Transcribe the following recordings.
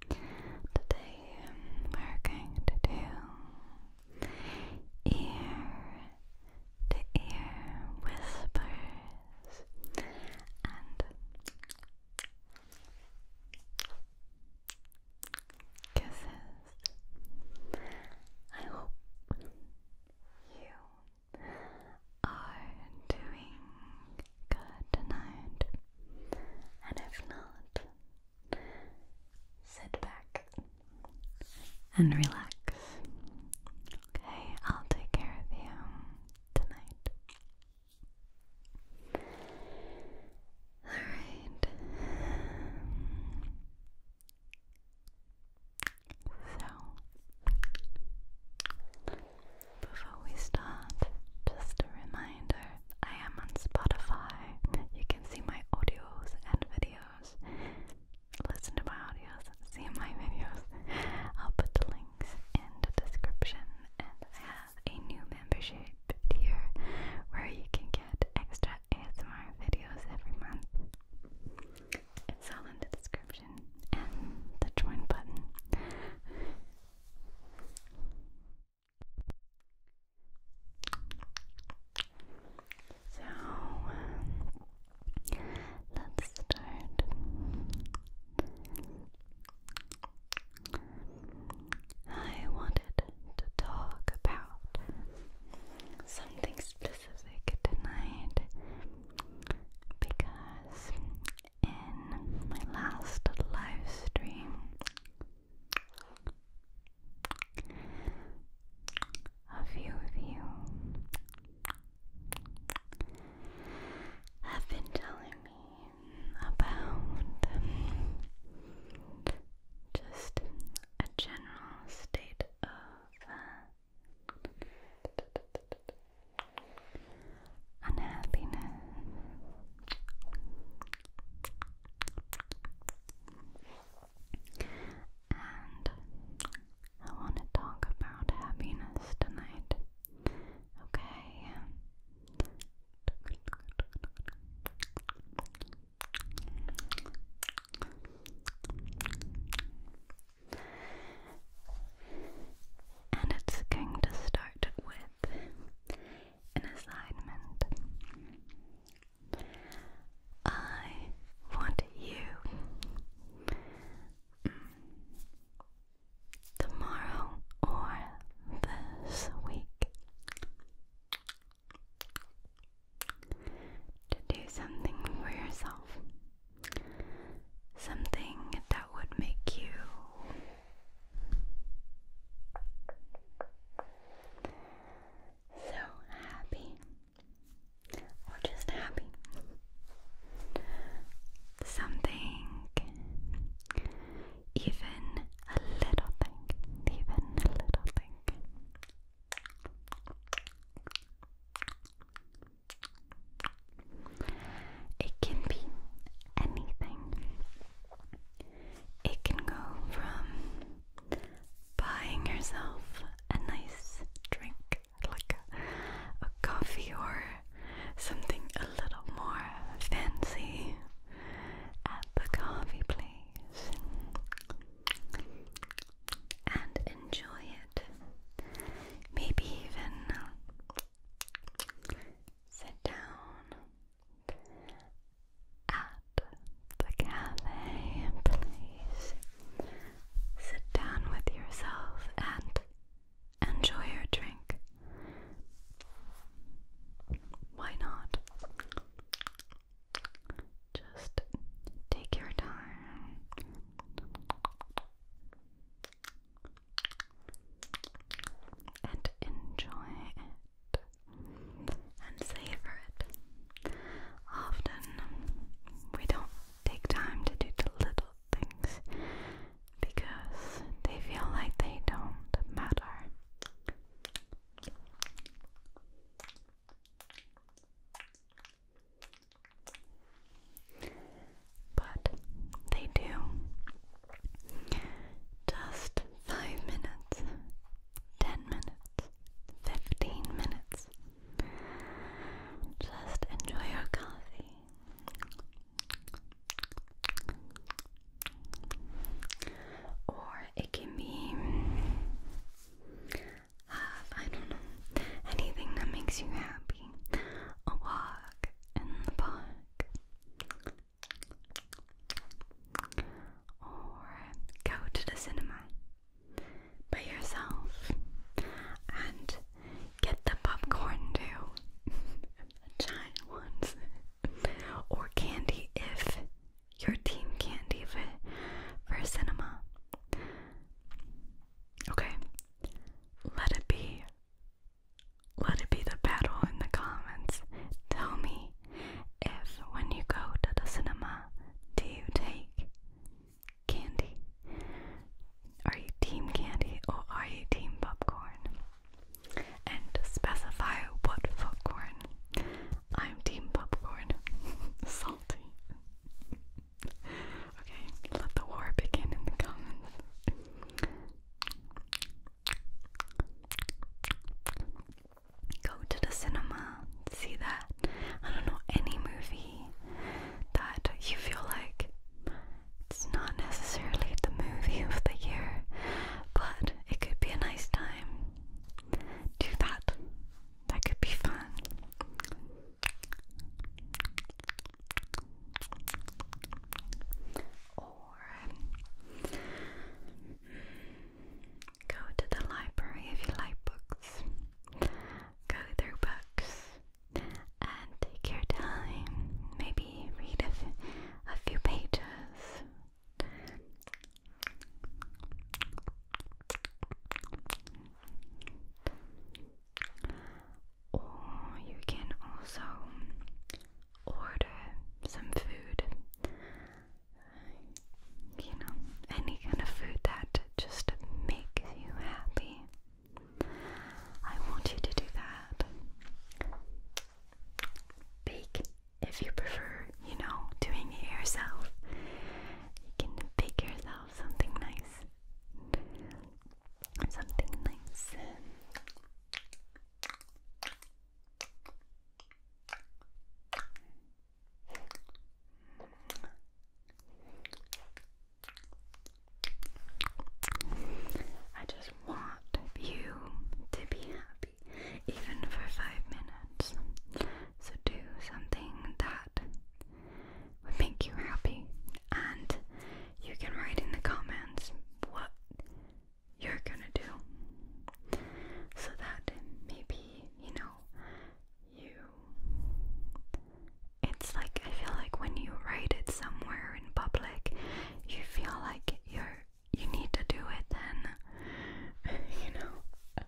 Today we're going to do ear to ear whispers and kisses. I hope you are doing good tonight, and if not, Sit back and relax. Okay, I'll take care of you tonight. Alright. So, before we start, just a reminder I am on Spotify. You can see my audios and videos. Listen to my audios, see my videos. I'll put the links in the description. And I have a new membership here where you can get extra ASMR videos every month. It's all in the description and the join button. So um, let's start. I wanted to talk about something specific tonight because in my last live stream a few of you have been telling me about just a general state of uh, unhappiness and I want to talk about happiness tonight. Okay. And it's going to start with an assignment. I want you mm, tomorrow or this week to do something for yourself. Something that would make you so happy, or just happy. Something, even a little thing, even a little thing. It can be anything. It can go from buying yourself a nice drink, like a, coffee or something a little more fancy at the coffee place, and enjoy it. Maybe even sit down at the cafe. Please sit down with yourself and enjoy your drink. Why not? Just take your time and enjoy it and savor it. Often we don't take time to do the little things because they feel like they don't matter but they do. Just 5 minutes, 10 minutes, 15 minutes. Just enjoy your coffee. Or it can be, uh, I don't know, anything that makes you happy. A walk in the park, or go to the cinema by yourself and get the popcorn too. a giant ones. or candy if your team candy for, for cinema. Okay. Let it be let it be the battle in the comments. Tell me if when you go to the cinema, do you take candy? Are you team candy or are you team popcorn? And specify what popcorn. I'm team popcorn. Salty. okay, let the war begin in the comments. Go to the cinema, see that. I don't know, any movie that you feel like it's not necessarily the movie of the year, but it could be a nice time. Do that. That could be fun or go to the library if you like books. Go through books and take your time. Maybe read a, few pages or you can also order some food. You know, any kind of food that just makes you happy. I want you to do that. Bake if you prefer, you know, doing it yourself. You can bake yourself something nice something nice. I just want you to be happy, even for five minutes. So do something that would make you happy and you can write in the comments what you're gonna do so that maybe you know you it's like I feel like when you write it somewhere in public you feel like you're you need to do it then you know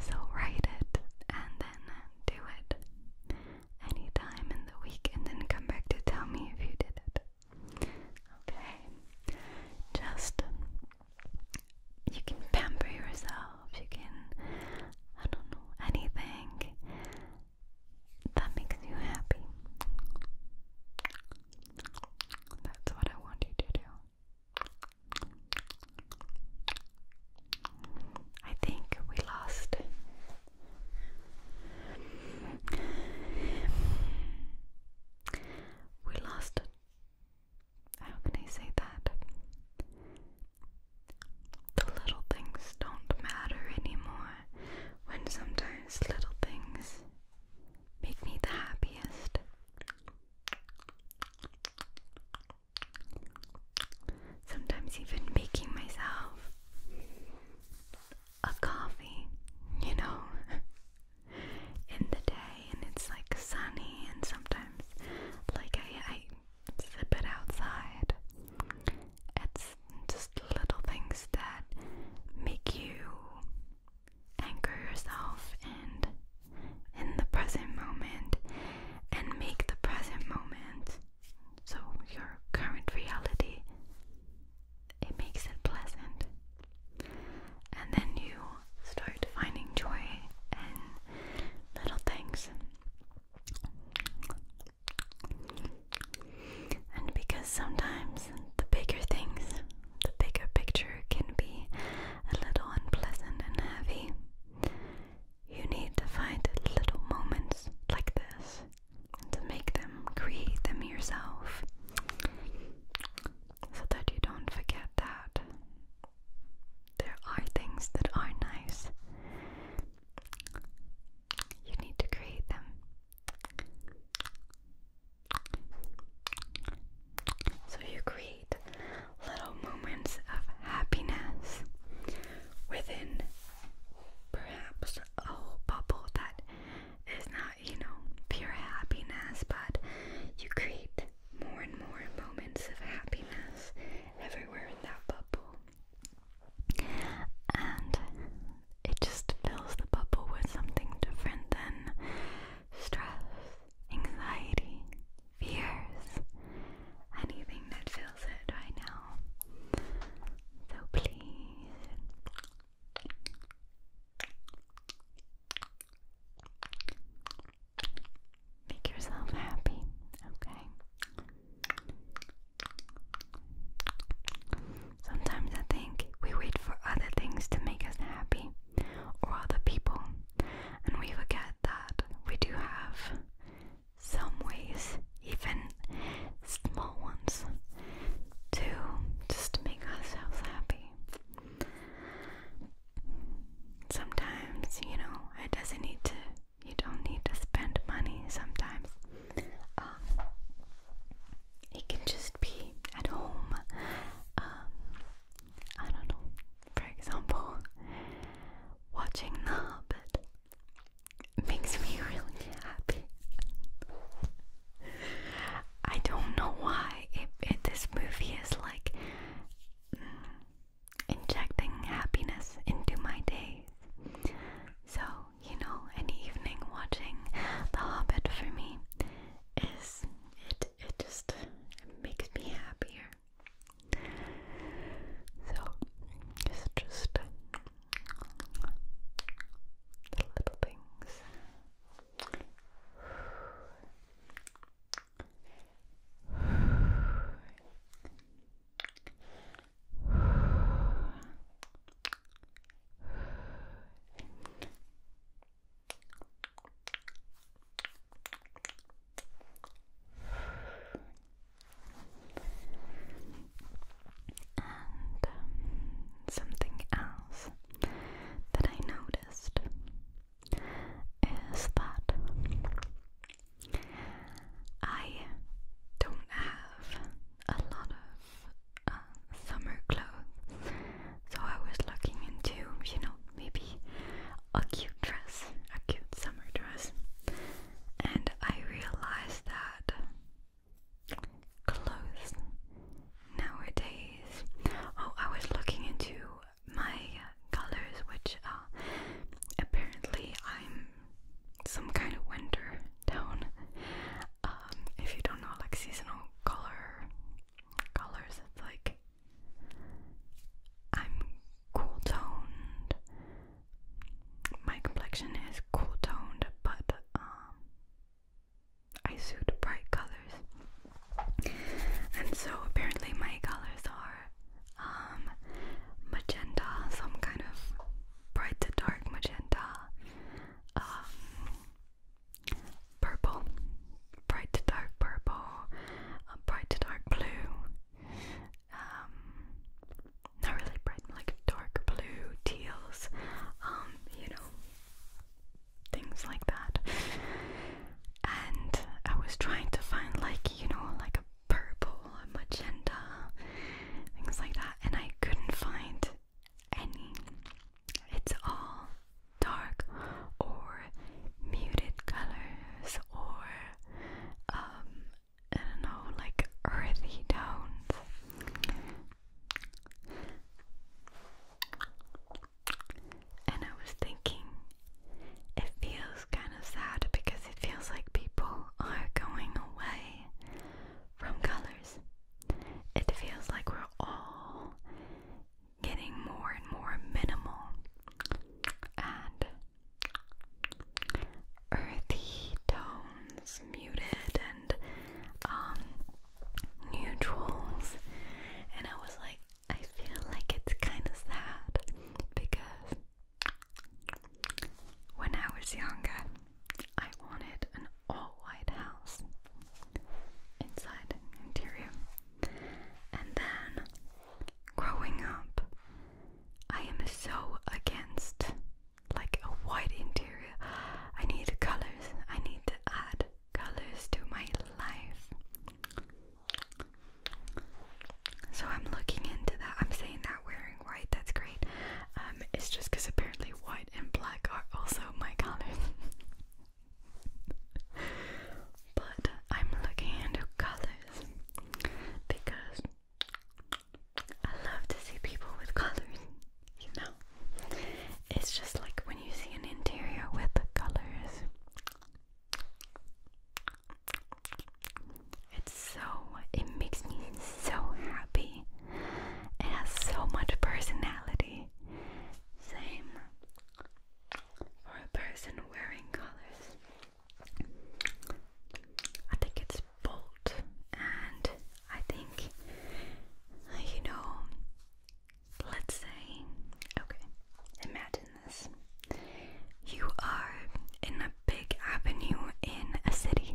so write it and then do it any time in the week and then come back to tell me if you did it. Okay? Just, you can pamper yourself, you can, I don't know, anything that makes you happy. That's what I want you to do. I think we lost we lost. How can I say that? The little things don't matter anymore when sometimes little things make me the happiest sometimes even making myself a coffee, you know, in the day, and it's like sunny, and sometimes like I, I sip it outside. It's just little things that make you anchor yourself and in the present moment and make the present moment so your current reality it makes it pleasant. And then you start finding joy in little things. And because sometimes the bigger things, the bigger picture can be a little unpleasant and heavy, you need to find little moments like this to make them, create them yourself so that you don't forget that there are things that are nice. You need to create them. So you create little moments of happiness within perhaps a bubble that is not, you know, pure happiness, but you create more and more moments of happiness everywhere in that bubble. And it just fills the bubble with something different than stress, anxiety, fears, anything that fills it right now. So please. Make yourself happy, okay? Sometimes I think we wait for other things to make us happy or other people, and we forget that we do have some ways, even small ones, to just make ourselves happy. Sometimes, you know, it doesn't need to, you don't need to spend money sometimes. Um, it can just be at home. Um, I don't know. For example, watching The Hobbit makes me really happy. I don't know why it, this movie is like mm, injecting happiness into my days. So, you know, an evening watching The Hobbit for me is it it just makes me happier. So it's just little things. And um, something else that I noticed is that I don't have a lot of uh, summer clothes, so I was looking into, you know, maybe a cute dress, a cute summer dress, and I realized that clothes nowadays. Oh, I was looking into my colors, which are uh, apparently I'm some kind of winter tone. Um, if you don't know, like seasonal color colors, like I'm cool toned. My complexion is cool toned, but um, I suit bright colors. And so apparently my colors are um, magenta, some kind of bright to dark magenta, um, purple, bright to dark purple, bright to dark blue, um, not really bright, like dark blue, teals, um, you know, things like that. And I was trying to find, like, you know, like a purple, a magenta, things like that, and I couldn't find any. It's all dark or muted colors or um, I don't know, like earthy tones. And I was thinking, it feels kind of sad because it feels like people are going away from colors. It feels like we're all getting more and more minimal and earthy tones, muted and um neutrals, and I was like, I feel like it's kind of sad because when I was younger, I wanted an all white house inside interior and then, growing up, I am so against like a white interior. I need colors. I need to add colors to my life. So I'm looking into that. I'm saying that wearing white, that's great. Um, it's just because apparently white and black are also my colors. but I'm looking into colors because I love to see people with colors, you It's just like when you see an interior with colors, it's so, it makes me so happy. It has so much personality. Same for a person wearing colors. I think it's bold, and I think, uh, you know, let's say, okay, imagine this. You are in a big avenue in a city.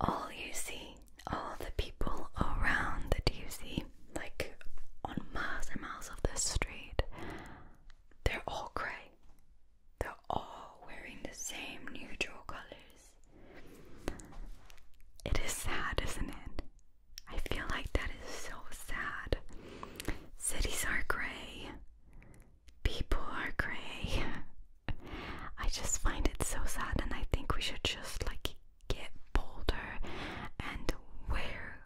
All you see, all the people around that you see like on miles and miles of this street, they're all grey. They're all wearing the same neutral colors. It is sad, isn't it? I feel like that is so sad. Cities are grey, people are grey. I just find it so sad, and I think we should just like get bolder and wear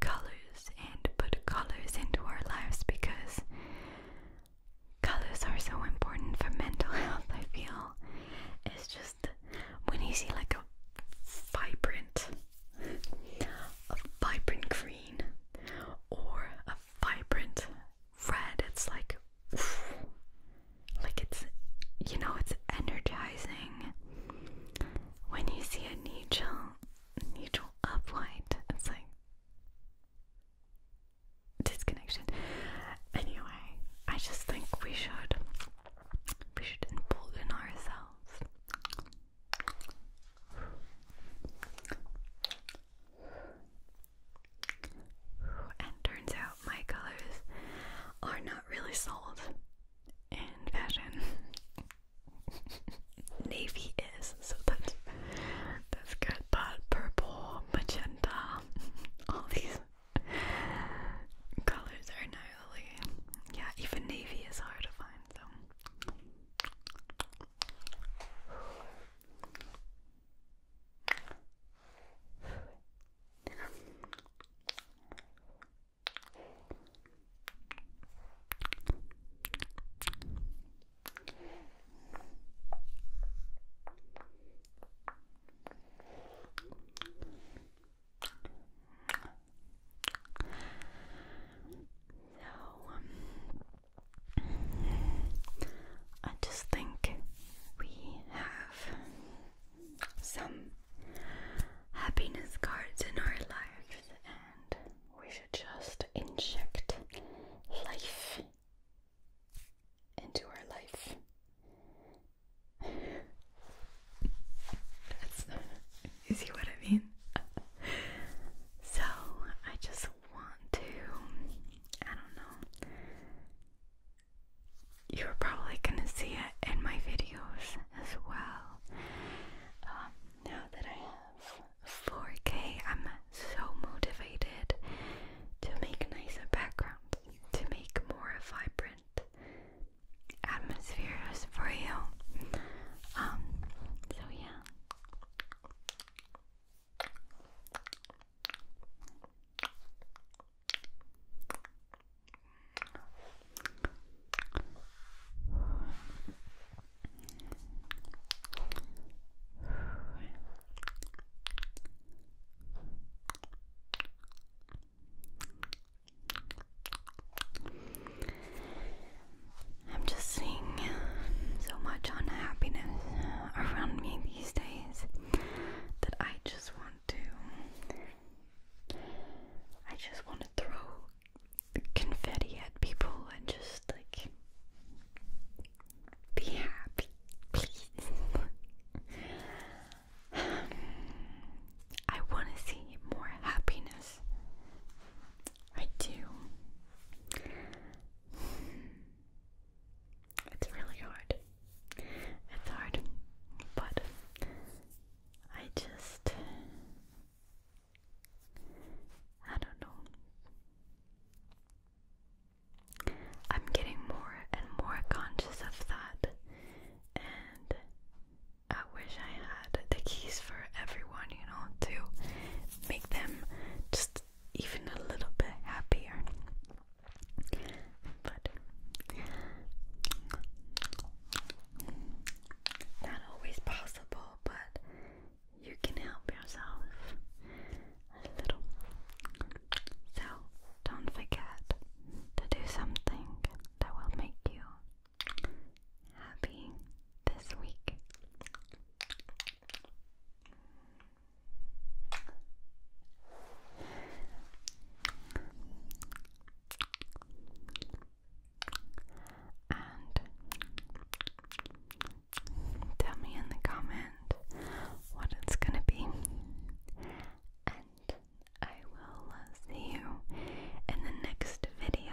colors and put colors into our lives because colors are so important for mental health, I feel. It's just when you see like a vibrant, a vibrant green or a vibrant red, it's like, like it's, you know, it's energizing when you see a neutral neutral uplight, it's like disconnection. Anyway, I just think we should we should embolden ourselves. And turns out my colors are not really sold in fashion. Navy is, so that's that's good. But purple, magenta, all these colors are now really. yeah, even navy is hard to find, so so, um, I just think we have some happiness cards in our life, and we should just inject life into our life. you see what I mean? So, I just want to, I don't know, you're probably gonna see it in my videos as well. Um, now that I have 4K, I'm so motivated to make nicer backgrounds, to make more vibrant atmospheres for you. Um, so yeah. I'm just seeing so much unhappiness around me these days that I just want to I just want to throw confetti at people and just like be happy, please. Um, I want to see more happiness. I do. It's really hard. It's hard, but I just I don't know. I'm getting more and more conscious of that, and I wish I had the keys for everyone, you know, to make them just even a little bit happier. But not always possible, but you can help yourself a little. So don't forget to do something that will make you happy this week. And tell me in the comment what it's going to be. And I will uh, see you in the next video.